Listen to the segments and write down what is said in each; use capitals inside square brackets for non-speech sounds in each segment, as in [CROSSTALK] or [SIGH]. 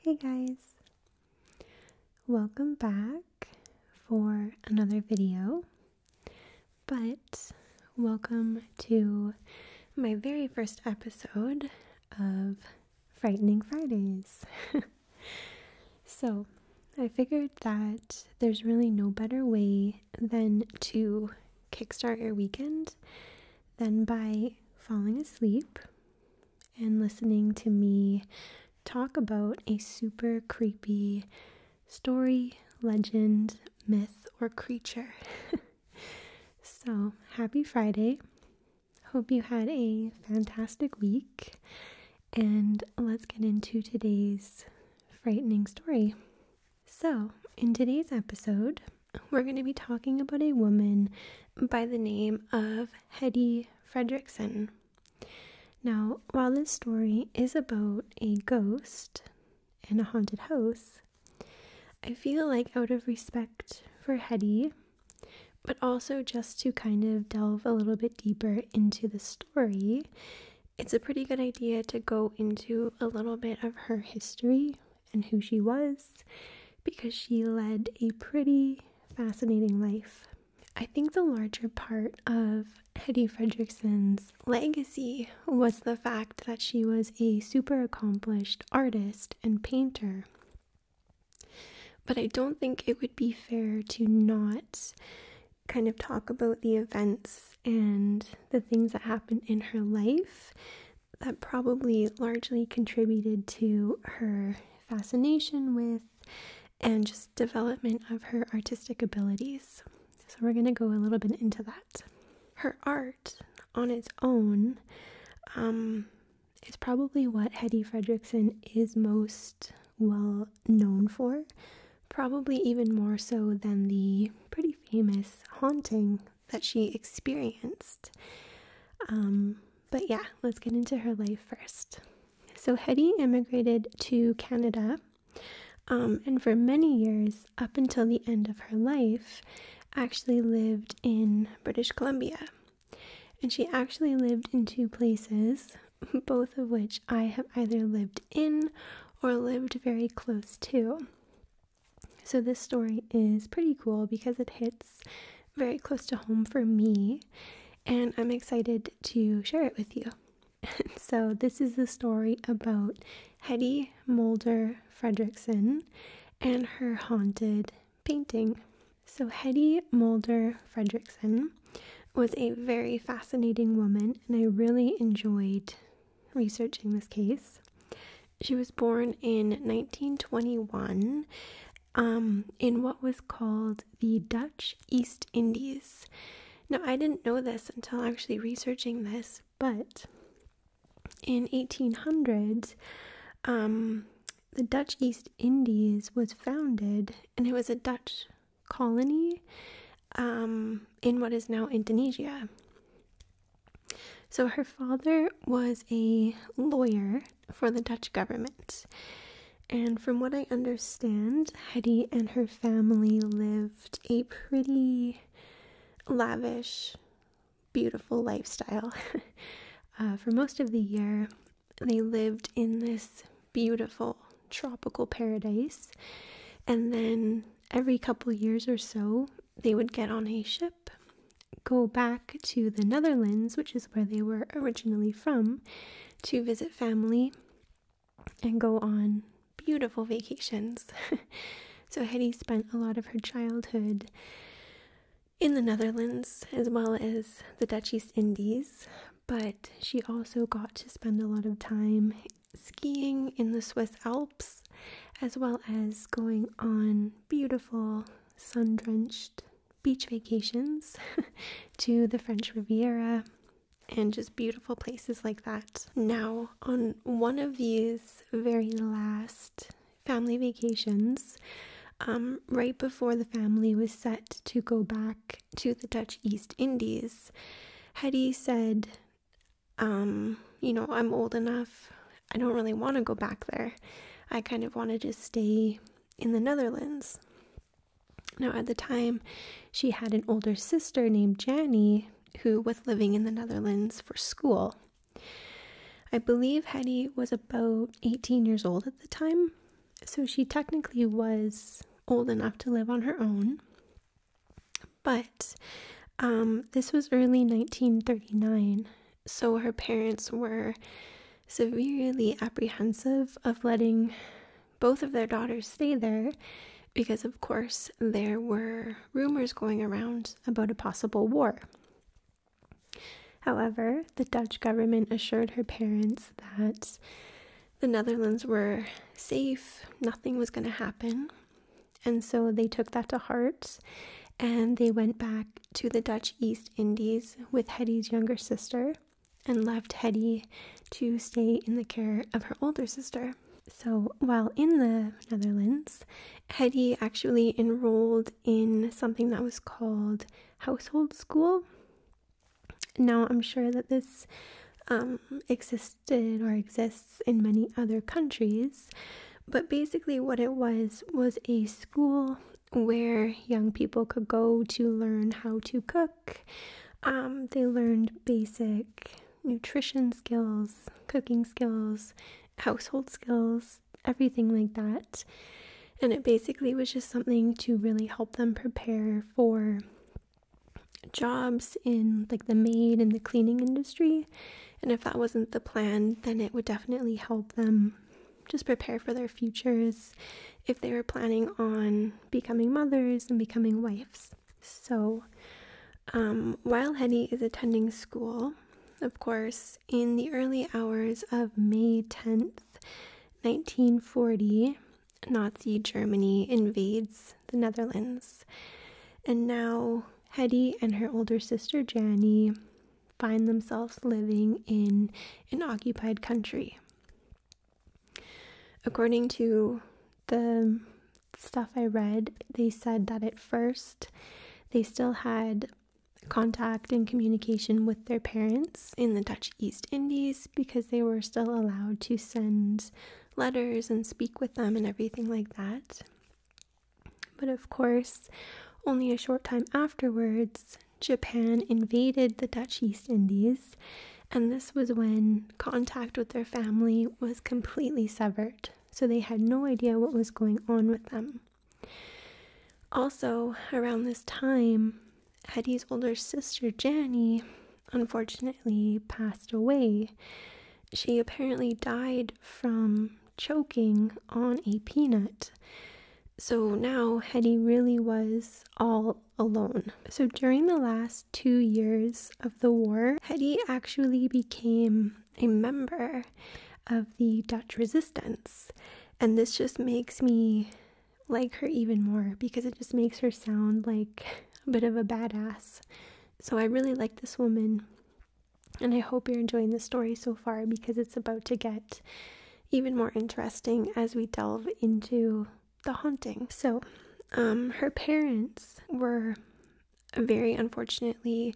Hey guys, welcome back for another video, but welcome to my very first episode of Frightening Fridays. [LAUGHS] so, I figured that there's really no better way than to kickstart your weekend than by falling asleep and listening to me talk about a super creepy story, legend, myth, or creature. [LAUGHS] so, happy Friday. Hope you had a fantastic week. And let's get into today's frightening story. So, in today's episode, we're going to be talking about a woman by the name of Hetty Fredrickson. Now, while this story is about a ghost and a haunted house, I feel like out of respect for Hetty, but also just to kind of delve a little bit deeper into the story, it's a pretty good idea to go into a little bit of her history and who she was because she led a pretty fascinating life. I think the larger part of Hetty Frederickson's legacy was the fact that she was a super accomplished artist and painter. But I don't think it would be fair to not kind of talk about the events and the things that happened in her life that probably largely contributed to her fascination with and just development of her artistic abilities. So, we're going to go a little bit into that. Her art on its own um, is probably what Hetty Fredrickson is most well known for, probably even more so than the pretty famous haunting that she experienced. Um, but yeah, let's get into her life first. So Hetty immigrated to Canada, um, and for many years, up until the end of her life, actually lived in British Columbia. And she actually lived in two places, [LAUGHS] both of which I have either lived in or lived very close to. So this story is pretty cool because it hits very close to home for me, and I'm excited to share it with you. [LAUGHS] so, this is the story about Hetty Mulder Fredrickson and her haunted painting. So, Hetty Mulder Fredrickson was a very fascinating woman, and I really enjoyed researching this case. She was born in 1921 um, in what was called the Dutch East Indies. Now, I didn't know this until actually researching this, but in 1800, um, the Dutch East Indies was founded, and it was a Dutch colony um, in what is now Indonesia. So her father was a lawyer for the Dutch government. And from what I understand, Hetty and her family lived a pretty lavish, beautiful lifestyle. [LAUGHS] Uh, for most of the year, they lived in this beautiful tropical paradise. And then every couple years or so, they would get on a ship go back to the Netherlands, which is where they were originally from, to visit family and go on beautiful vacations. [LAUGHS] so, Hetty spent a lot of her childhood in the Netherlands as well as the Dutch East Indies, but she also got to spend a lot of time skiing in the Swiss Alps as well as going on beautiful sun drenched beach vacations [LAUGHS] to the French Riviera and just beautiful places like that. Now, on one of these very last family vacations, um, right before the family was set to go back to the Dutch East Indies, Hetty said, um, You know, I'm old enough. I don't really want to go back there. I kind of want to just stay in the Netherlands. Now, at the time, she had an older sister named Janny who was living in the Netherlands for school. I believe Hetty was about 18 years old at the time, so she technically was old enough to live on her own. But um, this was early 1939, so her parents were severely apprehensive of letting both of their daughters stay there because, of course, there were rumors going around about a possible war. However, the Dutch government assured her parents that the Netherlands were safe, nothing was going to happen. And so they took that to heart and they went back to the Dutch East Indies with Hetty's younger sister and left Hetty to stay in the care of her older sister. So while in the Netherlands, Hetty actually enrolled in something that was called household school. Now, I'm sure that this um, existed or exists in many other countries, but basically, what it was was a school where young people could go to learn how to cook. Um, they learned basic nutrition skills, cooking skills, household skills, everything like that. And it basically was just something to really help them prepare for jobs in like the maid and the cleaning industry. And if that wasn't the plan, then it would definitely help them just prepare for their futures if they were planning on becoming mothers and becoming wives. So, um, while Hetty is attending school, of course, in the early hours of May 10th, 1940, Nazi Germany invades the Netherlands. And now Hetty and her older sister Jannie find themselves living in an occupied country. According to the stuff I read, they said that at first they still had contact and communication with their parents in the Dutch East Indies because they were still allowed to send letters and speak with them and everything like that. But of course, only a short time afterwards, Japan invaded the Dutch East Indies, and this was when contact with their family was completely severed, so they had no idea what was going on with them. Also, around this time, Hetty's older sister, Janny, unfortunately passed away. She apparently died from choking on a peanut. So now Hetty really was all alone. So during the last two years of the war, Hetty actually became a member of the Dutch resistance. And this just makes me like her even more because it just makes her sound like a bit of a badass. So I really like this woman and I hope you're enjoying the story so far because it's about to get even more interesting as we delve into the haunting. So, um, her parents were very unfortunately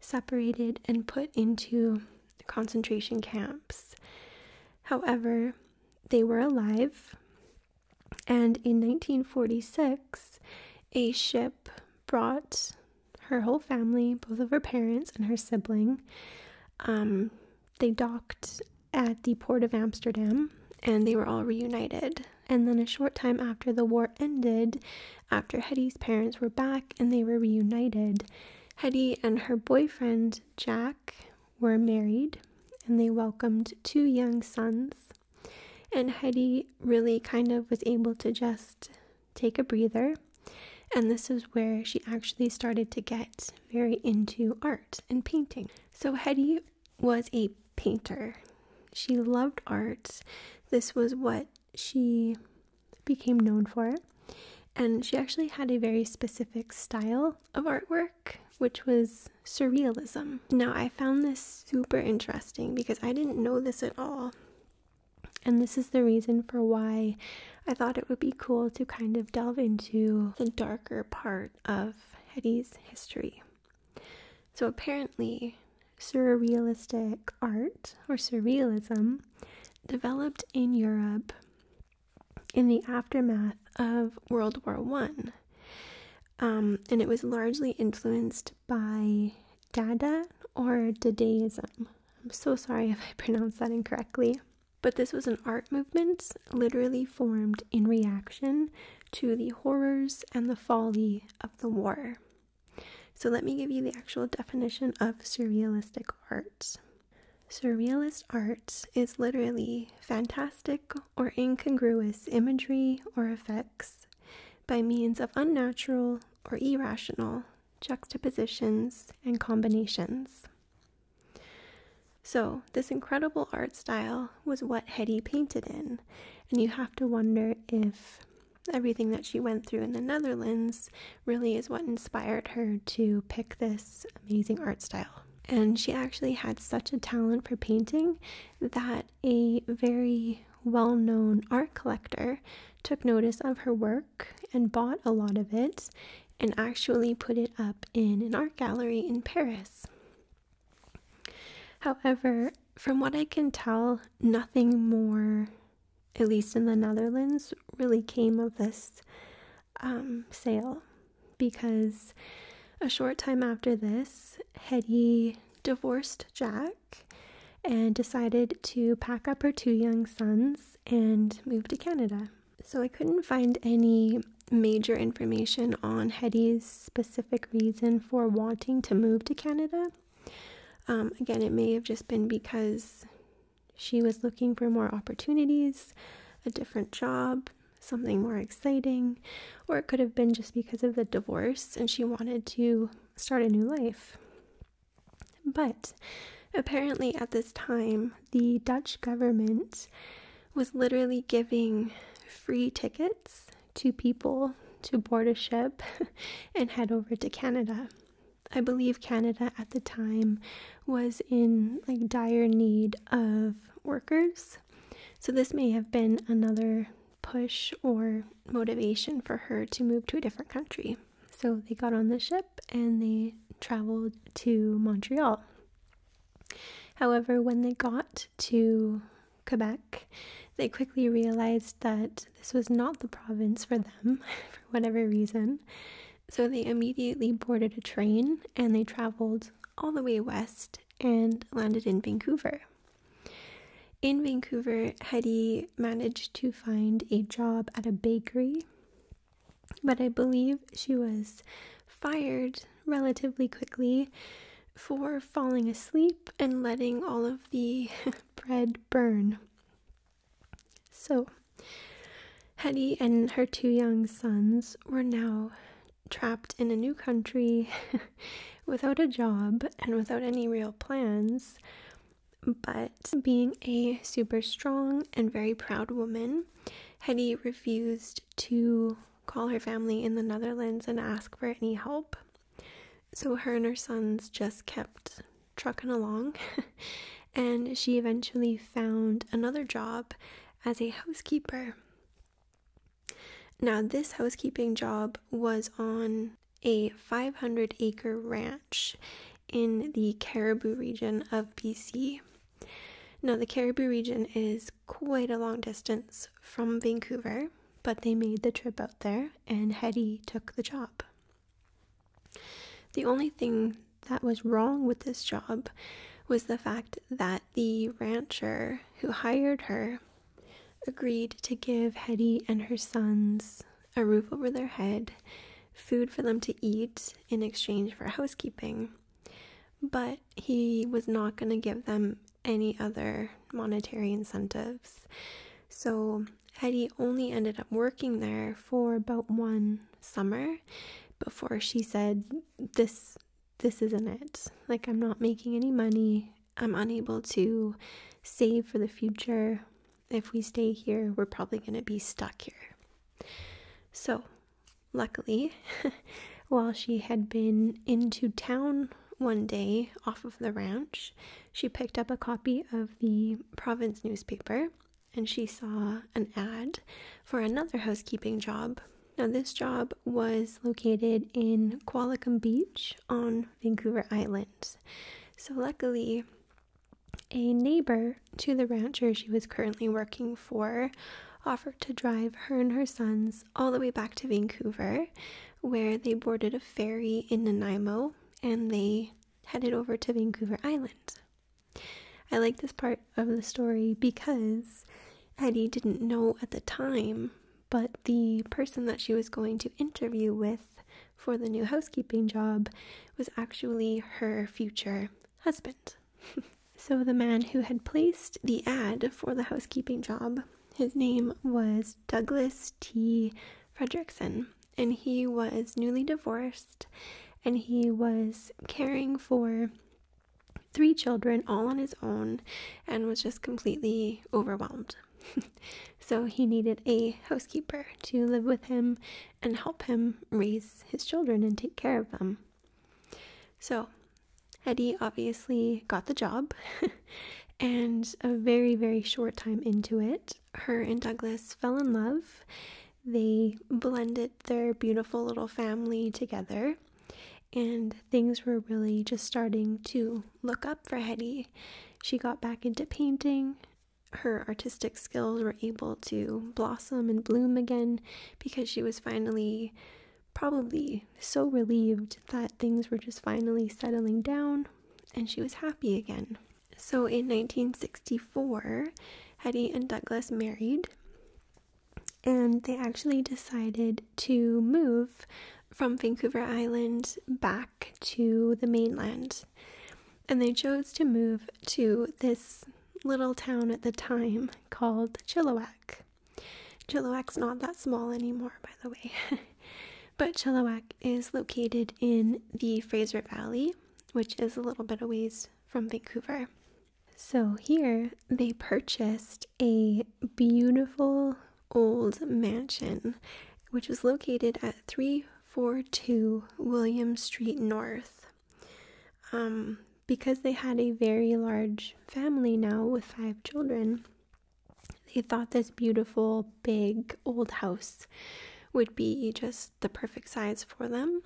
separated and put into concentration camps. However, they were alive, and in 1946, a ship brought her whole family, both of her parents and her sibling. Um, they docked at the port of Amsterdam and they were all reunited. And then a short time after the war ended, after Hetty's parents were back and they were reunited, Hetty and her boyfriend Jack were married and they welcomed two young sons. And Hetty really kind of was able to just take a breather. And this is where she actually started to get very into art and painting. So, Hetty was a painter. She loved art. This was what she became known for. And she actually had a very specific style of artwork, which was surrealism. Now, I found this super interesting because I didn't know this at all and this is the reason for why I thought it would be cool to kind of delve into the darker part of Hetty's history. So, apparently, surrealistic art or surrealism developed in Europe in the aftermath of World War One, um, and it was largely influenced by Dada or Dadaism, I'm so sorry if I [LAUGHS] pronounced that incorrectly. But this was an art movement literally formed in reaction to the horrors and the folly of the war. So, let me give you the actual definition of surrealistic art. Surrealist art is literally fantastic or incongruous imagery or effects by means of unnatural or irrational juxtapositions, and combinations. So, this incredible art style was what Hetty painted in, and you have to wonder if everything that she went through in the Netherlands really is what inspired her to pick this amazing art style. And she actually had such a talent for painting that a very well known art collector took notice of her work and bought a lot of it and actually put it up in an art gallery in Paris. However, from what I can tell, nothing more, at least in the Netherlands, really came of this um, sale because a short time after this, Hetty divorced Jack and decided to pack up her two young sons and move to Canada. So I couldn't find any major information on Hetty's specific reason for wanting to move to Canada. Um, again, it may have just been because she was looking for more opportunities, a different job, something more exciting, or it could have been just because of the divorce and she wanted to start a new life. But apparently, at this time, the Dutch government was literally giving free tickets to people to board a ship [LAUGHS] and head over to Canada. I believe Canada at the time was in like dire need of workers. So this may have been another push or motivation for her to move to a different country. So they got on the ship and they traveled to Montreal. However, when they got to Quebec, they quickly realized that this was not the province for them, [LAUGHS] for whatever reason. So they immediately boarded a train and they traveled all the way west and landed in Vancouver. In Vancouver, Hetty managed to find a job at a bakery, but I believe she was fired relatively quickly for falling asleep and letting all of the [LAUGHS] bread burn. So, Hetty and her two young sons were now trapped in a new country [LAUGHS] without a job and without any real plans. But being a super strong and very proud woman, Hetty refused to call her family in the Netherlands and ask for any help. So her and her sons just kept trucking along, [LAUGHS] and she eventually found another job as a housekeeper. Now, this housekeeping job was on a 500 acre ranch in the Cariboo region of BC. Now, the Cariboo region is quite a long distance from Vancouver, but they made the trip out there and Hetty took the job. The only thing that was wrong with this job was the fact that the rancher who hired her agreed to give Hetty and her sons a roof over their head, food for them to eat in exchange for housekeeping. But he was not going to give them any other monetary incentives. So Hetty only ended up working there for about one summer before she said, This this isn't it. Like I'm not making any money. I'm unable to save for the future if we stay here, we're probably going to be stuck here. So, luckily, [LAUGHS] while she had been into town one day off of the ranch, she picked up a copy of the province newspaper and she saw an ad for another housekeeping job. Now, this job was located in Qualicum Beach on Vancouver Island. So, luckily, a neighbor to the rancher she was currently working for offered to drive her and her sons all the way back to Vancouver, where they boarded a ferry in Nanaimo and they headed over to Vancouver Island. I like this part of the story because Eddie didn't know at the time, but the person that she was going to interview with for the new housekeeping job was actually her future husband. [LAUGHS] so, the man who had placed the ad for the housekeeping job, his name was Douglas T. Fredrickson, and he was newly divorced and he was caring for three children all on his own and was just completely overwhelmed [LAUGHS] so he needed a housekeeper to live with him and help him raise his children and take care of them. So Eddie obviously got the job, [LAUGHS] and a very, very short time into it, her and Douglas fell in love. They blended their beautiful little family together, and things were really just starting to look up for Hetty. She got back into painting her artistic skills were able to blossom and bloom again because she was finally probably so relieved that things were just finally settling down and she was happy again. So in 1964, Hetty and Douglas married and they actually decided to move from Vancouver Island back to the mainland. And they chose to move to this little town at the time called Chilliwack. Chilliwack's not that small anymore, by the way. [LAUGHS] but Chilliwack is located in the Fraser Valley, which is a little bit of ways from Vancouver. So here they purchased a beautiful old mansion, which was located at 3 Four 42 William Street North. Um, because they had a very large family now with five children, they thought this beautiful, big old house would be just the perfect size for them.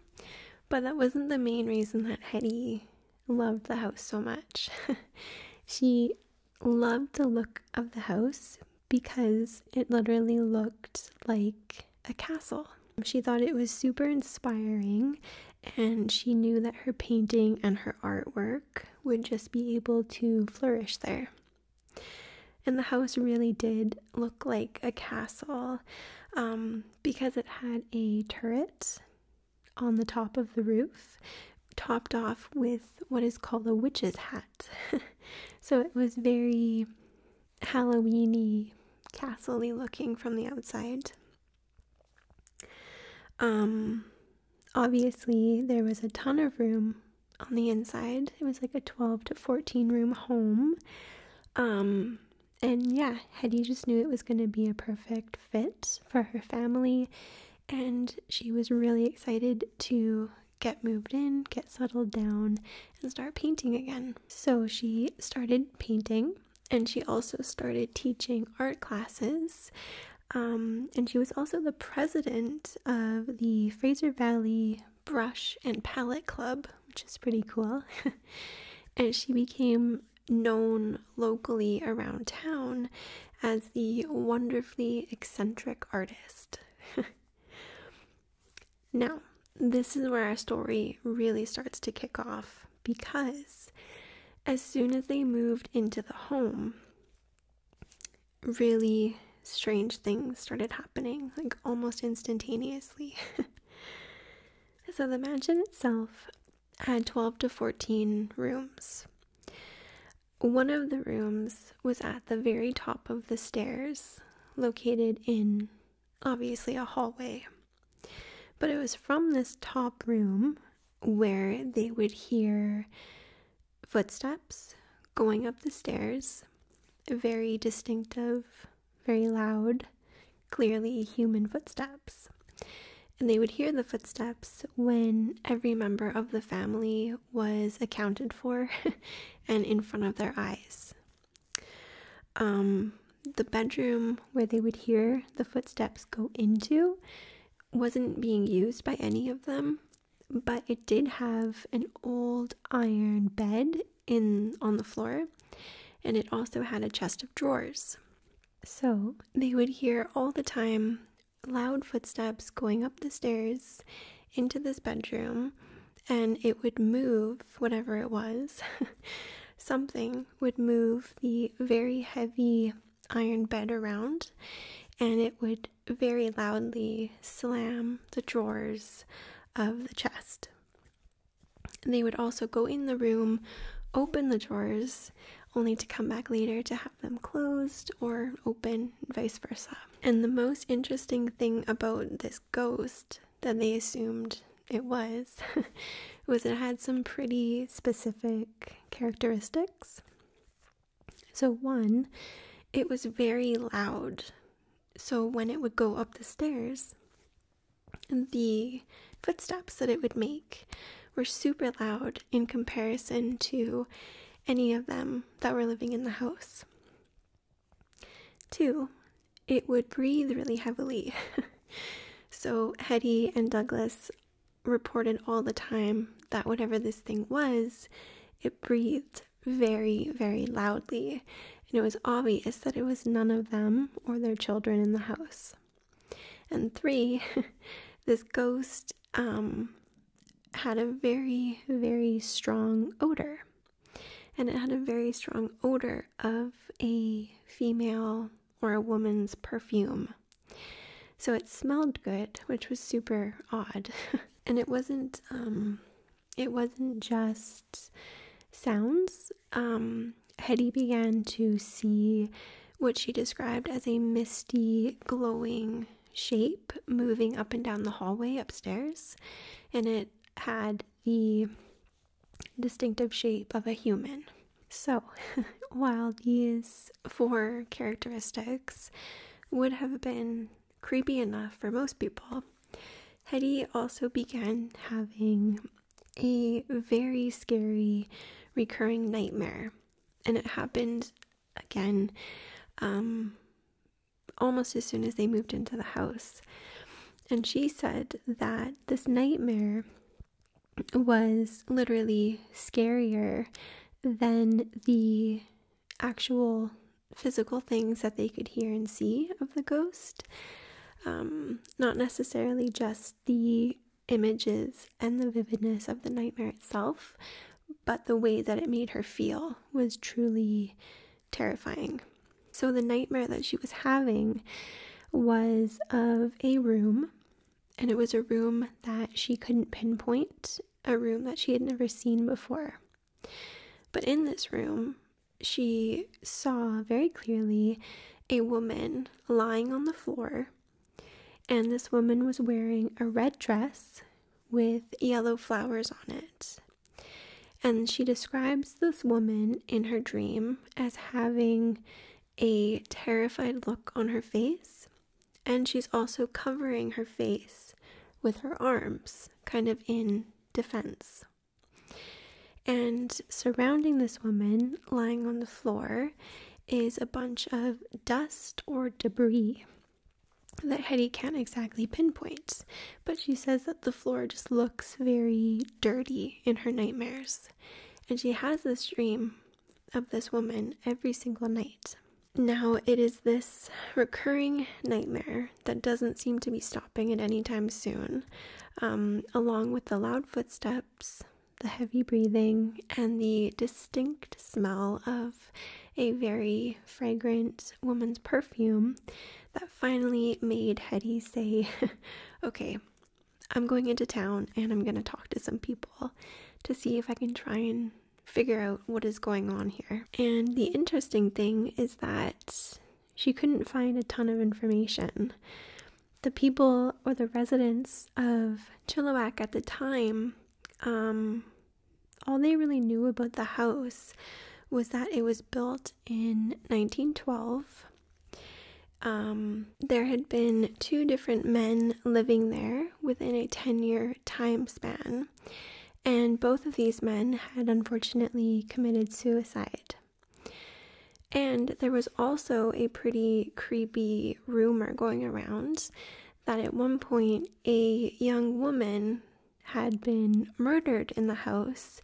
But that wasn't the main reason that Hetty loved the house so much. [LAUGHS] she loved the look of the house because it literally looked like a castle. She thought it was super inspiring and she knew that her painting and her artwork would just be able to flourish there. And the house really did look like a castle um, because it had a turret on the top of the roof, topped off with what is called a witch's hat. [LAUGHS] so it was very Halloweeny, castle-y looking from the outside. Um, obviously there was a ton of room on the inside. It was like a 12 to 14 room home. Um, and yeah, Hetty just knew it was going to be a perfect fit for her family, and she was really excited to get moved in, get settled down, and start painting again. So she started painting and she also started teaching art classes. Um, and she was also the president of the Fraser Valley Brush and Palette Club, which is pretty cool. [LAUGHS] and she became known locally around town as the wonderfully eccentric artist. [LAUGHS] Now, this is where our story really starts to kick off because as soon as they moved into the home, really strange things started happening, like almost instantaneously. [LAUGHS] so, the mansion itself had 12 to 14 rooms. One of the rooms was at the very top of the stairs, located in obviously a hallway. But it was from this top room where they would hear footsteps going up the stairs, very distinctive, very loud, clearly human footsteps. And they would hear the footsteps when every member of the family was accounted for [LAUGHS] and in front of their eyes. Um, the bedroom where they would hear the footsteps go into wasn't being used by any of them, but it did have an old iron bed in on the floor, and it also had a chest of drawers. So they would hear all the time loud footsteps going up the stairs into this bedroom and it would move whatever it was. [LAUGHS] Something would move the very heavy iron bed around and it would very loudly slam the drawers of the chest. they would also go in the room, open the drawers, only to come back later to have them closed or open and vice versa. And the most interesting thing about this ghost that they assumed it was [LAUGHS] was it had some pretty specific characteristics. So one, it was very loud. So when it would go up the stairs, the footsteps that it would make were super loud in comparison to any of them that were living in the house. Two, it would breathe really heavily. [LAUGHS] so Hetty and Douglas reported all the time that whatever this thing was, it breathed very, very loudly, and it was obvious that it was none of them or their children in the house. And three, [LAUGHS] this ghost um, had a very, very strong odor. And it had a very strong odor of a female or a woman's perfume. So it smelled good, which was super odd. [LAUGHS] and it wasn't um it wasn't just sounds. Um Hetty began to see what she described as a misty, glowing shape moving up and down the hallway upstairs, and it had the distinctive shape of a human. So, [LAUGHS] while these four characteristics would have been creepy enough for most people, Hetty also began having a very scary recurring nightmare. And it happened again um, almost as soon as they moved into the house. And she said that this nightmare was literally scarier than the actual physical things that they could hear and see of the ghost. Um, not necessarily just the images and the vividness of the nightmare itself, but the way that it made her feel was truly terrifying. So, the nightmare that she was having was of a room, and it was a room that she couldn't pinpoint, a room that she had never seen before. But in this room, she saw very clearly a woman lying on the floor, and this woman was wearing a red dress with yellow flowers on it. And she describes this woman in her dream as having a terrified look on her face, and she's also covering her face with her arms, kind of in defense. And surrounding this woman, lying on the floor, is a bunch of dust or debris that Hetty can't exactly pinpoint, but she says that the floor just looks very dirty in her nightmares. And she has this dream of this woman every single night. Now, it is this recurring nightmare that doesn't seem to be stopping at any time soon, um, along with the loud footsteps, the heavy breathing, and the distinct smell of a very fragrant woman's perfume that finally made Hetty say, [LAUGHS] Okay, I'm going into town and I'm going to talk to some people to see if I can try and figure out what is going on here. And the interesting thing is that she couldn't find a ton of information. The people or the residents of Chilliwack at the time um, all they really knew about the house was that it was built in 1912. Um, there had been two different men living there within a 10 year time span, and both of these men had unfortunately committed suicide. And there was also a pretty creepy rumor going around that at one point a young woman had been murdered in the house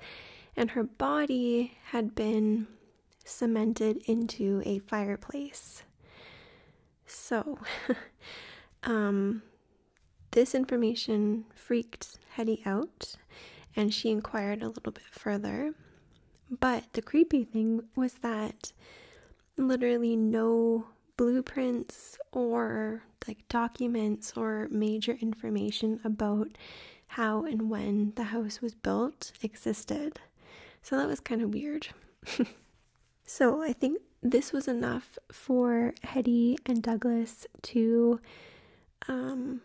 and her body had been cemented into a fireplace. So, [LAUGHS] um, this information freaked Hetty out and she inquired a little bit further. But the creepy thing was that literally no blueprints or like documents or major information about how and when the house was built existed. So that was kind of weird. [LAUGHS] so I think this was enough for Hetty and Douglas to um,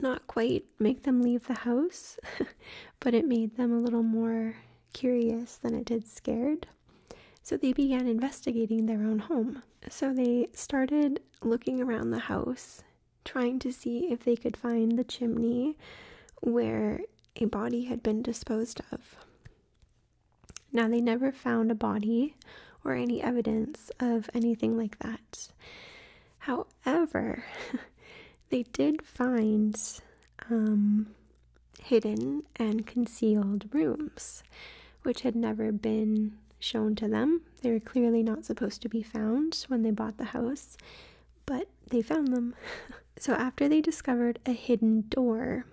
not quite make them leave the house, [LAUGHS] but it made them a little more curious than it did scared. So they began investigating their own home. So they started looking around the house, trying to see if they could find the chimney where a body had been disposed of. Now, they never found a body or any evidence of anything like that. However, [LAUGHS] they did find um, hidden and concealed rooms, which had never been shown to them. They were clearly not supposed to be found when they bought the house, but they found them. [LAUGHS] so, after they discovered a hidden door,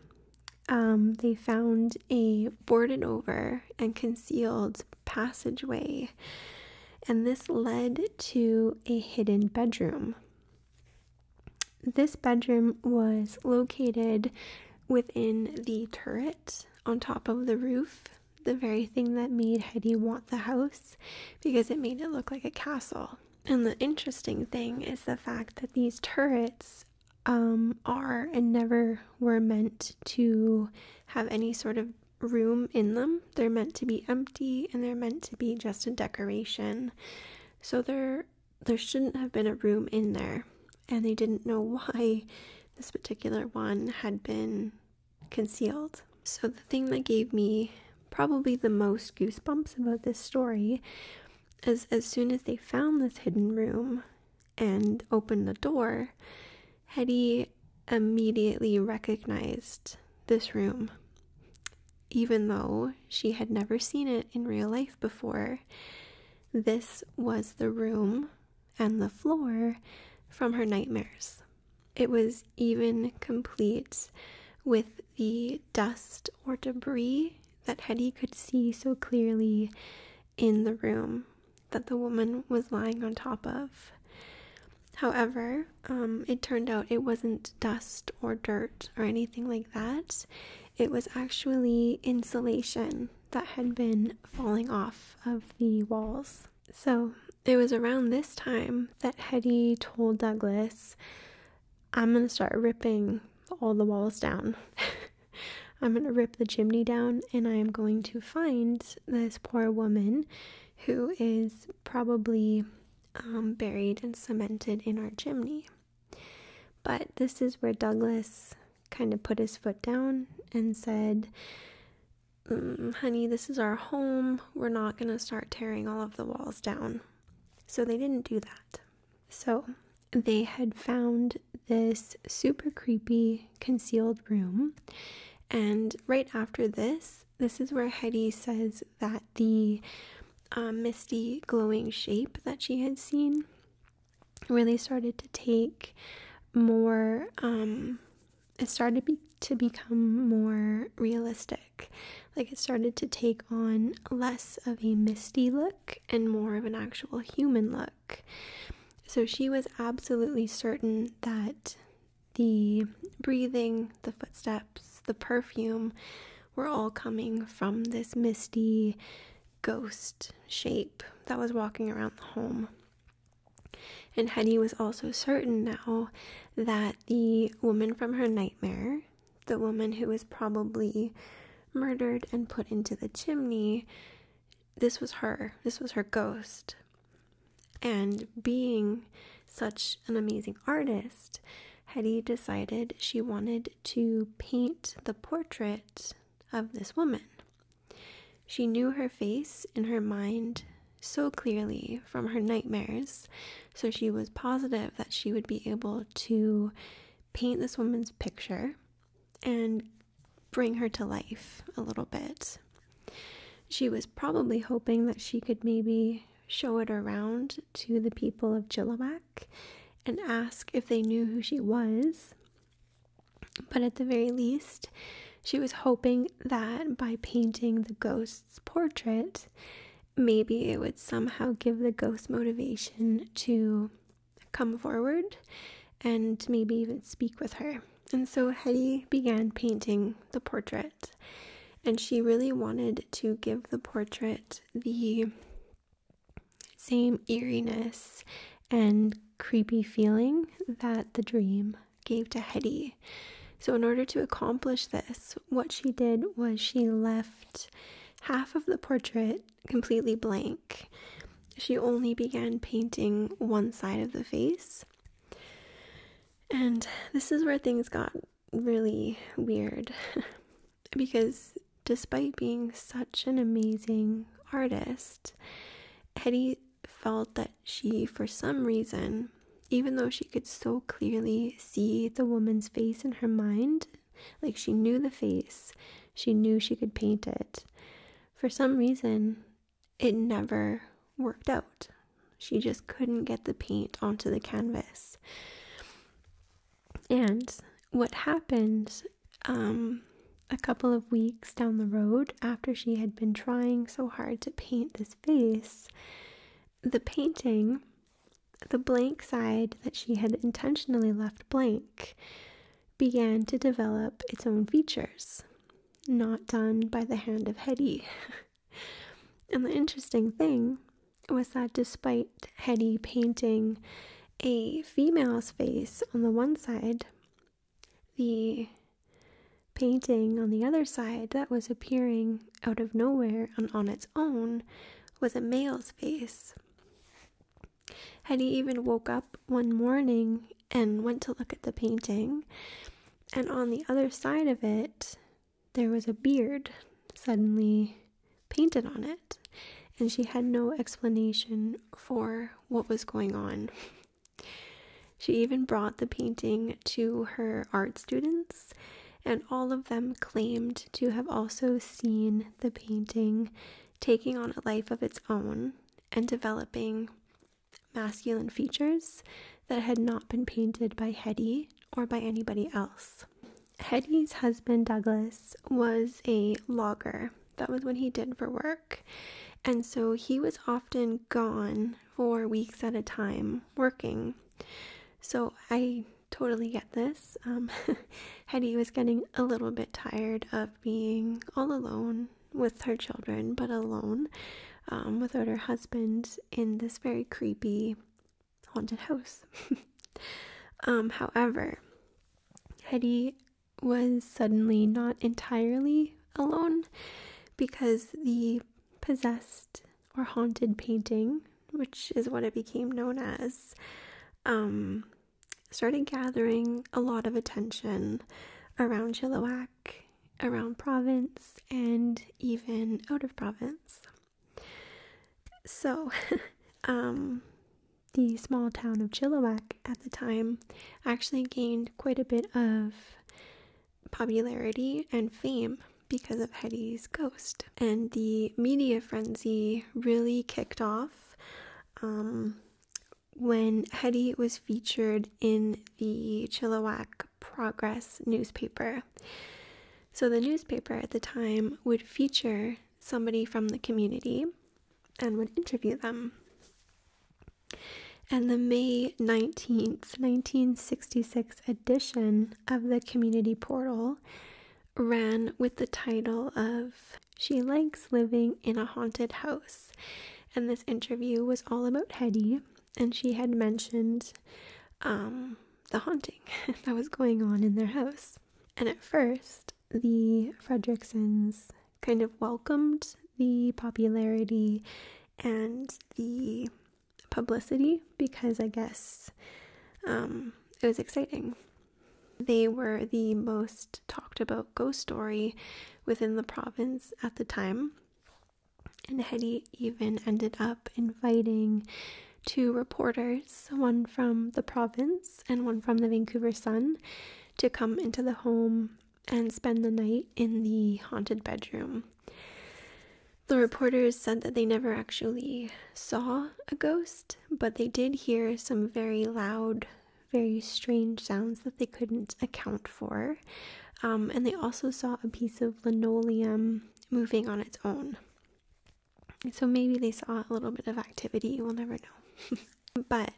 um, they found a boarded over and concealed passageway, and this led to a hidden bedroom. This bedroom was located within the turret on top of the roof, the very thing that made Heidi want the house because it made it look like a castle. And the interesting thing is the fact that these turrets um, are and never were meant to have any sort of room in them. They're meant to be empty and they're meant to be just a decoration. So they're there shouldn't have been a room in there, and they didn't know why this particular one had been concealed. So, the thing that gave me probably the most goosebumps about this story is as soon as they found this hidden room and opened the door, Hetty immediately recognized this room, even though she had never seen it in real life before, this was the room and the floor from her nightmares. It was even complete with the dust or debris that Hetty could see so clearly in the room that the woman was lying on top of. However, um, it turned out it wasn't dust or dirt or anything like that it was actually insulation that had been falling off of the walls. So it was around this time that Hetty told Douglas, I'm going to start ripping all the walls down. [LAUGHS] I'm going to rip the chimney down and I am going to find this poor woman who is probably um, buried and cemented in our chimney. But this is where Douglas kind of put his foot down and said, mm, Honey, this is our home. We're not going to start tearing all of the walls down. So they didn't do that. So they had found this super creepy concealed room. And right after this, this is where Heidi says that the um, misty glowing shape that she had seen really started to take more um, it started to become more realistic like it started to take on less of a misty look and more of an actual human look so she was absolutely certain that the breathing the footsteps the perfume were all coming from this misty ghost shape that was walking around the home. And Hetty was also certain now that the woman from her nightmare, the woman who was probably murdered and put into the chimney, this was her. This was her ghost. And being such an amazing artist, Hetty decided she wanted to paint the portrait of this woman. She knew her face in her mind so clearly from her nightmares, so she was positive that she would be able to paint this woman's picture and bring her to life a little bit. She was probably hoping that she could maybe show it around to the people of Chilliwack and ask if they knew who she was. But at the very least, she was hoping that by painting the ghost's portrait, maybe it would somehow give the ghost motivation to come forward and maybe even speak with her. And so Hetty began painting the portrait, and she really wanted to give the portrait the same eeriness and creepy feeling that the dream gave to Hetty. So, in order to accomplish this, what she did was she left half of the portrait completely blank. She only began painting one side of the face. And this is where things got really weird. [LAUGHS] because despite being such an amazing artist, Hetty felt that she, for some reason, even though she could so clearly see the woman's face in her mind, like she knew the face, she knew she could paint it, for some reason, it never worked out. She just couldn't get the paint onto the canvas. And what happened um, a couple of weeks down the road after she had been trying so hard to paint this face, the painting, the blank side that she had intentionally left blank, began to develop its own features, not done by the hand of Hetty. [LAUGHS] and the interesting thing was that despite Hetty painting a female's face on the one side, the painting on the other side that was appearing out of nowhere and on its own was a male's face. Hetty even woke up one morning and went to look at the painting, and on the other side of it, there was a beard suddenly painted on it, and she had no explanation for what was going on. She even brought the painting to her art students, and all of them claimed to have also seen the painting taking on a life of its own and developing masculine features that had not been painted by Hetty or by anybody else. Hetty's husband Douglas was a logger. That was what he did for work. And so he was often gone for weeks at a time working. So I totally get this. Um, [LAUGHS] Hetty was getting a little bit tired of being all alone with her children, but alone um, without her husband in this very creepy haunted house. [LAUGHS] Um, however, Hetty was suddenly not entirely alone because the possessed or haunted painting, which is what it became known as, um, started gathering a lot of attention around Chilliwack, around province, and even out of province. So, [LAUGHS] um, the small town of Chilliwack at the time actually gained quite a bit of popularity and fame because of Hetty's ghost. And the media frenzy really kicked off um, when Hetty was featured in the Chilliwack Progress newspaper. So the newspaper at the time would feature somebody from the community and would interview them. And the May 19th, 1966 edition of the community portal ran with the title of She Likes Living in a Haunted House. And this interview was all about Hetty, and she had mentioned um, the haunting [LAUGHS] that was going on in their house. And at first, the Fredricksons kind of welcomed the popularity and the publicity because I guess um, it was exciting. They were the most talked about ghost story within the province at the time. And Hetty even ended up inviting two reporters, one from the province and one from the Vancouver Sun, to come into the home and spend the night in the haunted bedroom. The reporters said that they never actually saw a ghost, but they did hear some very loud, very strange sounds that they couldn't account for. Um, and they also saw a piece of linoleum moving on its own. So maybe they saw a little bit of activity, you will never know. [LAUGHS] but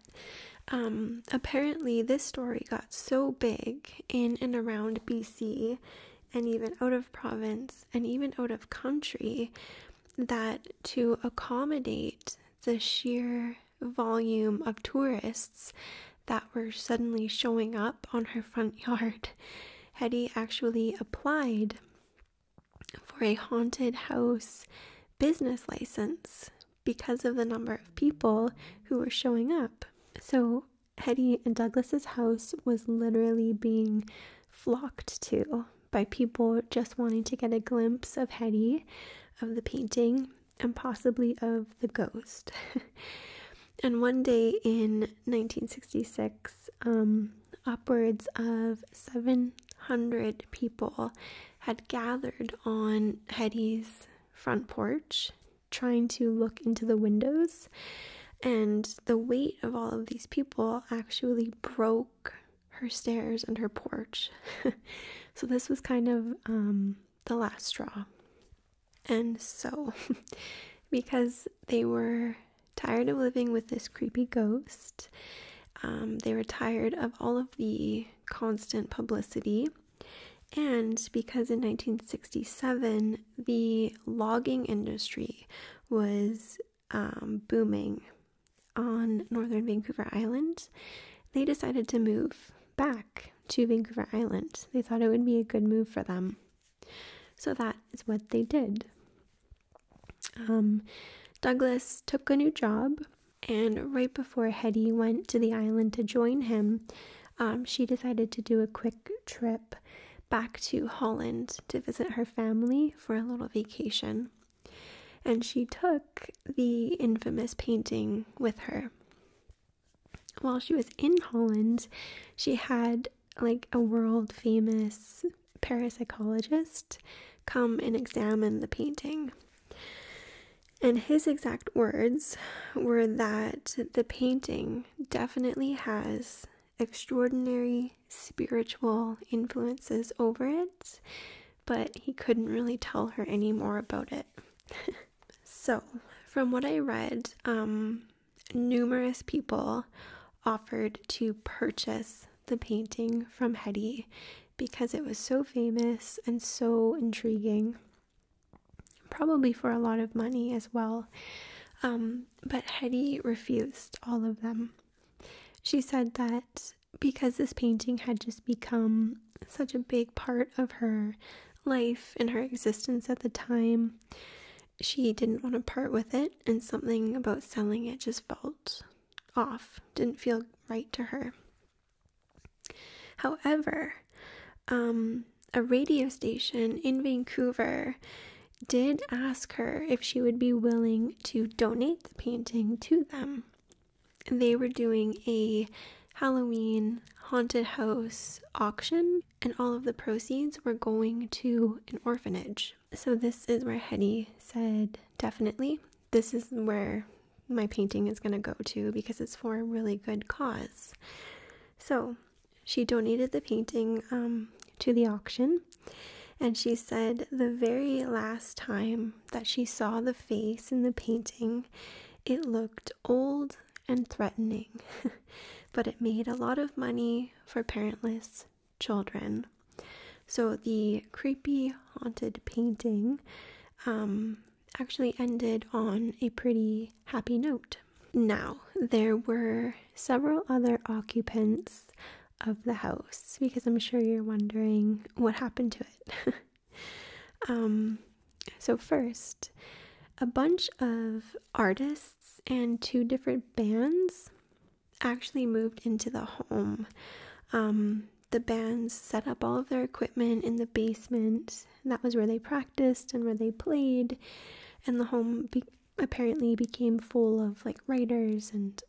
um, apparently, this story got so big in and around BC and even out of province and even out of country that to accommodate the sheer volume of tourists that were suddenly showing up on her front [LAUGHS] yard, Hetty actually applied for a haunted house business license because of the number of people who were showing up. So, Hetty and Douglas's house was literally being flocked to by people just wanting to get a glimpse of Hetty, of the painting, and possibly of the ghost. [LAUGHS] and one day in 1966, um, upwards of 700 people had gathered on Hetty's front porch trying to look into the windows. And the weight of all of these people actually broke her stairs and her porch. [LAUGHS] so this was kind of um, the last straw. And so, [LAUGHS] because they were tired of living with this creepy ghost. Um, they were tired of all of the constant publicity. And because in 1967 the logging industry was um, booming on northern Vancouver Island, they decided to move back to Vancouver Island. They thought it would be a good move for them. So that is what they did. Um, Douglas took a new job, and right before Hetty went to the island to join him, um, she decided to do a quick trip back to Holland to visit her family for a little vacation. And she took the infamous painting with her. While she was in Holland, she had like a world famous parapsychologist come and examine the painting. And his exact words were that the painting definitely has extraordinary spiritual influences over it, but he couldn't really tell her any more about it. [LAUGHS] so, from what I read, um, numerous people offered to purchase the painting from Hetty because it was so famous and so intriguing, probably for a lot of money as well. Um, but Hetty refused all of them. She said that because this painting had just become such a big part of her life and her existence at the time, she didn't want to part with it, and something about selling it just felt off, didn't feel right to her. However, um, a radio station in Vancouver did ask her if she would be willing to donate the painting to them. They were doing a Halloween haunted house auction, and all of the proceeds were going to an orphanage. So this is where Hetty said, definitely. This is where my painting is going to go to because it's for a really good cause. So she donated the painting um, to the auction. And she said the very last time that she saw the face in the painting, it looked old and threatening, [LAUGHS] but it made a lot of money for parentless children. So the creepy haunted painting um, actually ended on a pretty happy note. Now, there were several other occupants of the house because I'm sure you're wondering what happened to it. [LAUGHS] um, so, first, a bunch of artists and two different bands actually moved into the home. Um, the bands set up all of their equipment in the basement. That was where they practiced and where they played. And the home apparently became full of like writers and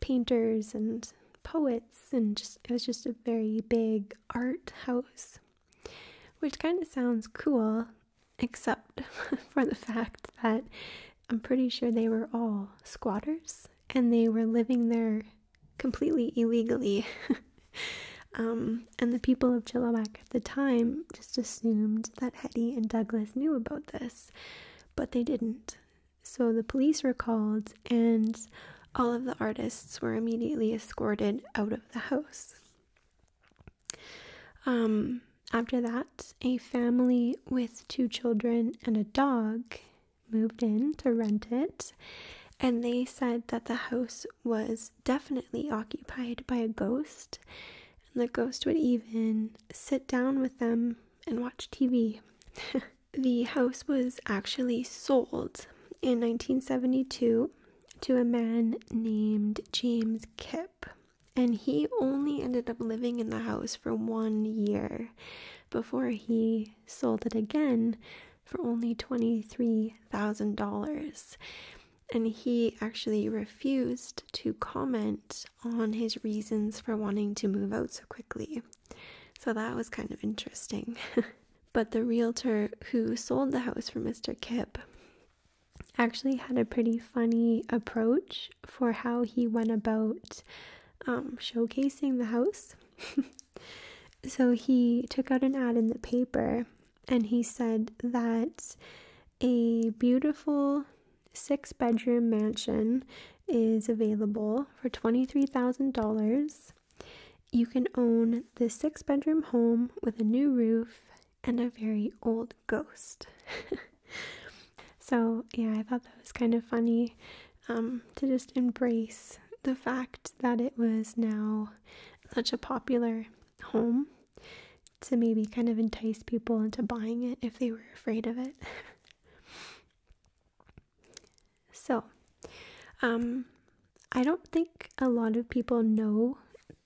painters and poets and just it was just a very big art house which kind of sounds cool except [LAUGHS] for the fact that I'm pretty sure they were all squatters and they were living there completely illegally. [LAUGHS] Um, and the people of Chilawak at the time just assumed that Hetty and Douglas knew about this, but they didn't. So the police were called, and all of the artists were immediately escorted out of the house. Um, after that, a family with two children and a dog moved in to rent it, and they said that the house was definitely occupied by a ghost, and the ghost would even sit down with them and watch TV. [LAUGHS] the house was actually sold in 1972 to a man named James Kipp and he only ended up living in the house for one year before he sold it again for only $23,000. And he actually refused to comment on his reasons for wanting to move out so quickly. So that was kind of interesting. [LAUGHS] but the realtor who sold the house for Mr. Kipp actually had a pretty funny approach for how he went about um, showcasing the house. [LAUGHS] so he took out an ad in the paper and he said that a beautiful six bedroom mansion is available for $23,000. You can own this six bedroom home with a new roof and a very old ghost. [LAUGHS] so, yeah, I thought that was kind of funny um, to just embrace the fact that it was now such a popular home to maybe kind of entice people into buying it if they were afraid of it. [LAUGHS] so, um, I don't think a lot of people know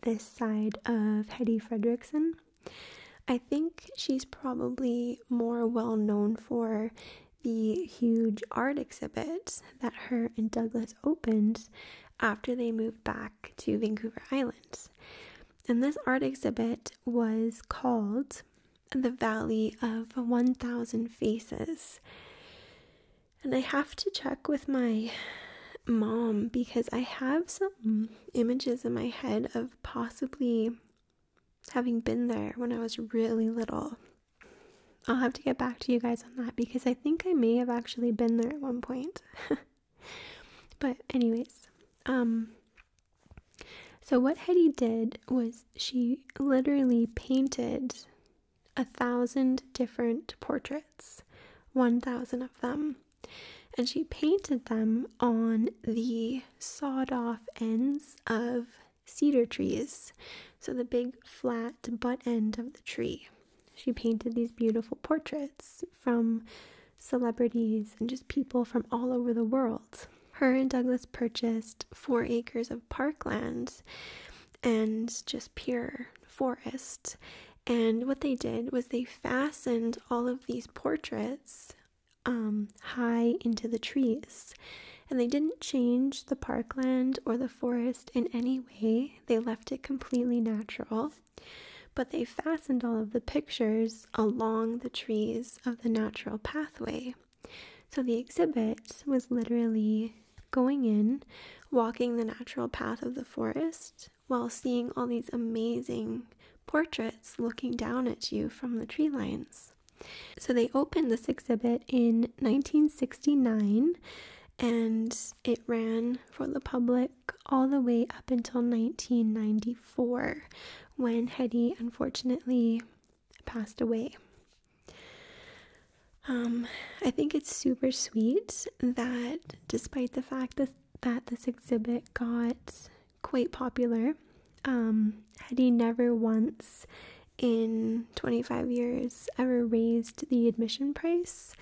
this side of Hetty Fredrickson. I think she's probably more well known for the huge art exhibit that her and Douglas opened after they moved back to Vancouver Island. And this art exhibit was called The Valley of 1000 Faces. And I have to check with my mom because I have some images in my head of possibly having been there when I was really little. I'll have to get back to you guys on that because I think I may have actually been there at one point. [LAUGHS] but anyways, um so what Hetty did was she literally painted a thousand different portraits, 1,000 of them and she painted them on the sawed off ends of cedar trees, so the big flat butt end of the tree. She painted these beautiful portraits from celebrities and just people from all over the world. Her and Douglas purchased four acres of parkland and just pure forest and what they did was they fastened all of these portraits um, high into the trees. And they didn't change the parkland or the forest in any way, they left it completely natural. But they fastened all of the pictures along the trees of the natural pathway. So the exhibit was literally going in, walking the natural path of the forest, while seeing all these amazing portraits looking down at you from the tree lines. So they opened this exhibit in 1969 and it ran for the public all the way up until 1994 when Hetty unfortunately passed away. Um, I think it's super sweet that despite the fact that that this exhibit got quite popular. Um, Hetty never once in 25 years ever raised the admission price.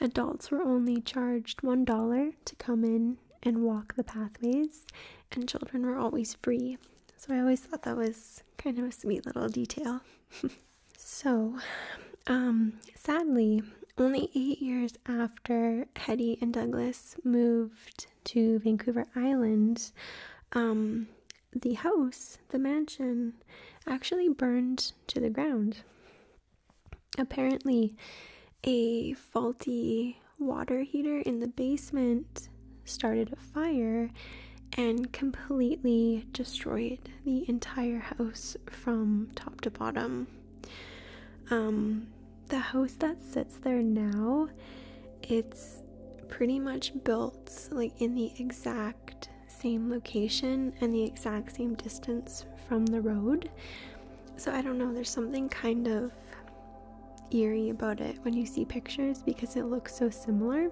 Adults were only charged $1 to come in and walk the pathways, and children were always free. So I always thought that was kind of a sweet little detail. [LAUGHS] so, um, sadly, only eight years after Hetty and Douglas moved to Vancouver Island, um, the house, the mansion, actually burned to the ground. Apparently, a faulty water heater in the basement started a fire and completely destroyed the entire house from top to bottom. Um, the house that sits there now, it's pretty much built like in the exact same location and the exact same distance from the road. So I don't know, there's something kind of eerie about it when you see pictures because it looks so similar.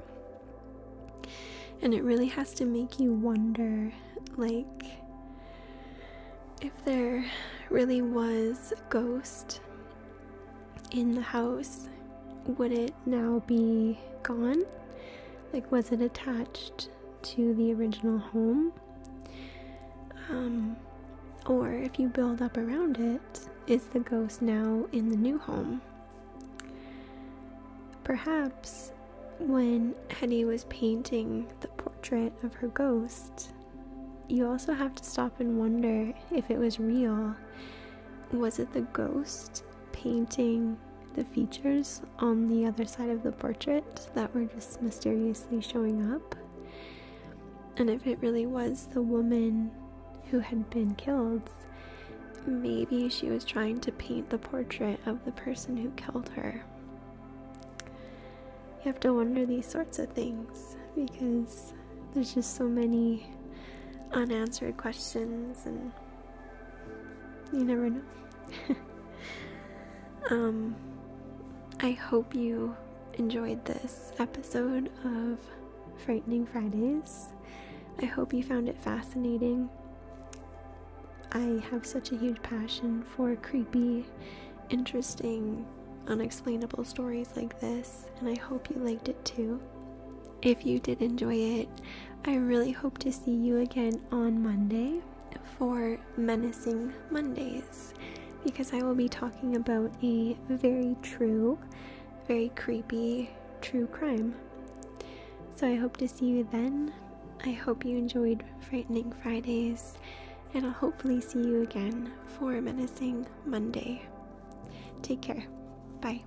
And it really has to make you wonder like if there really was a ghost in the house, would it now be gone? Like, was it attached to the original home? Um, or if you build up around it, is the ghost now in the new home? Perhaps when Hetty was painting portrait of her ghost, you also have to stop and wonder if it was real. Was it the ghost painting the features on the other side of the portrait that were just mysteriously showing up? And if it really was the woman who had been killed, maybe she was trying to paint the portrait of the person who killed her you have to wonder these sorts of things because there's just so many unanswered questions and you never know. [LAUGHS] um I hope you enjoyed this episode of Frightening Fridays. I hope you found it fascinating. I have such a huge passion for creepy, interesting, unexplainable stories like this, and I hope you liked it too. If you did enjoy it, I really hope to see you again on Monday for Menacing Mondays because I will be talking about a very true, very creepy true crime. So I hope to see you then. I hope you enjoyed Frightening Fridays and I'll hopefully see you again for Menacing Monday. Take care. Bye.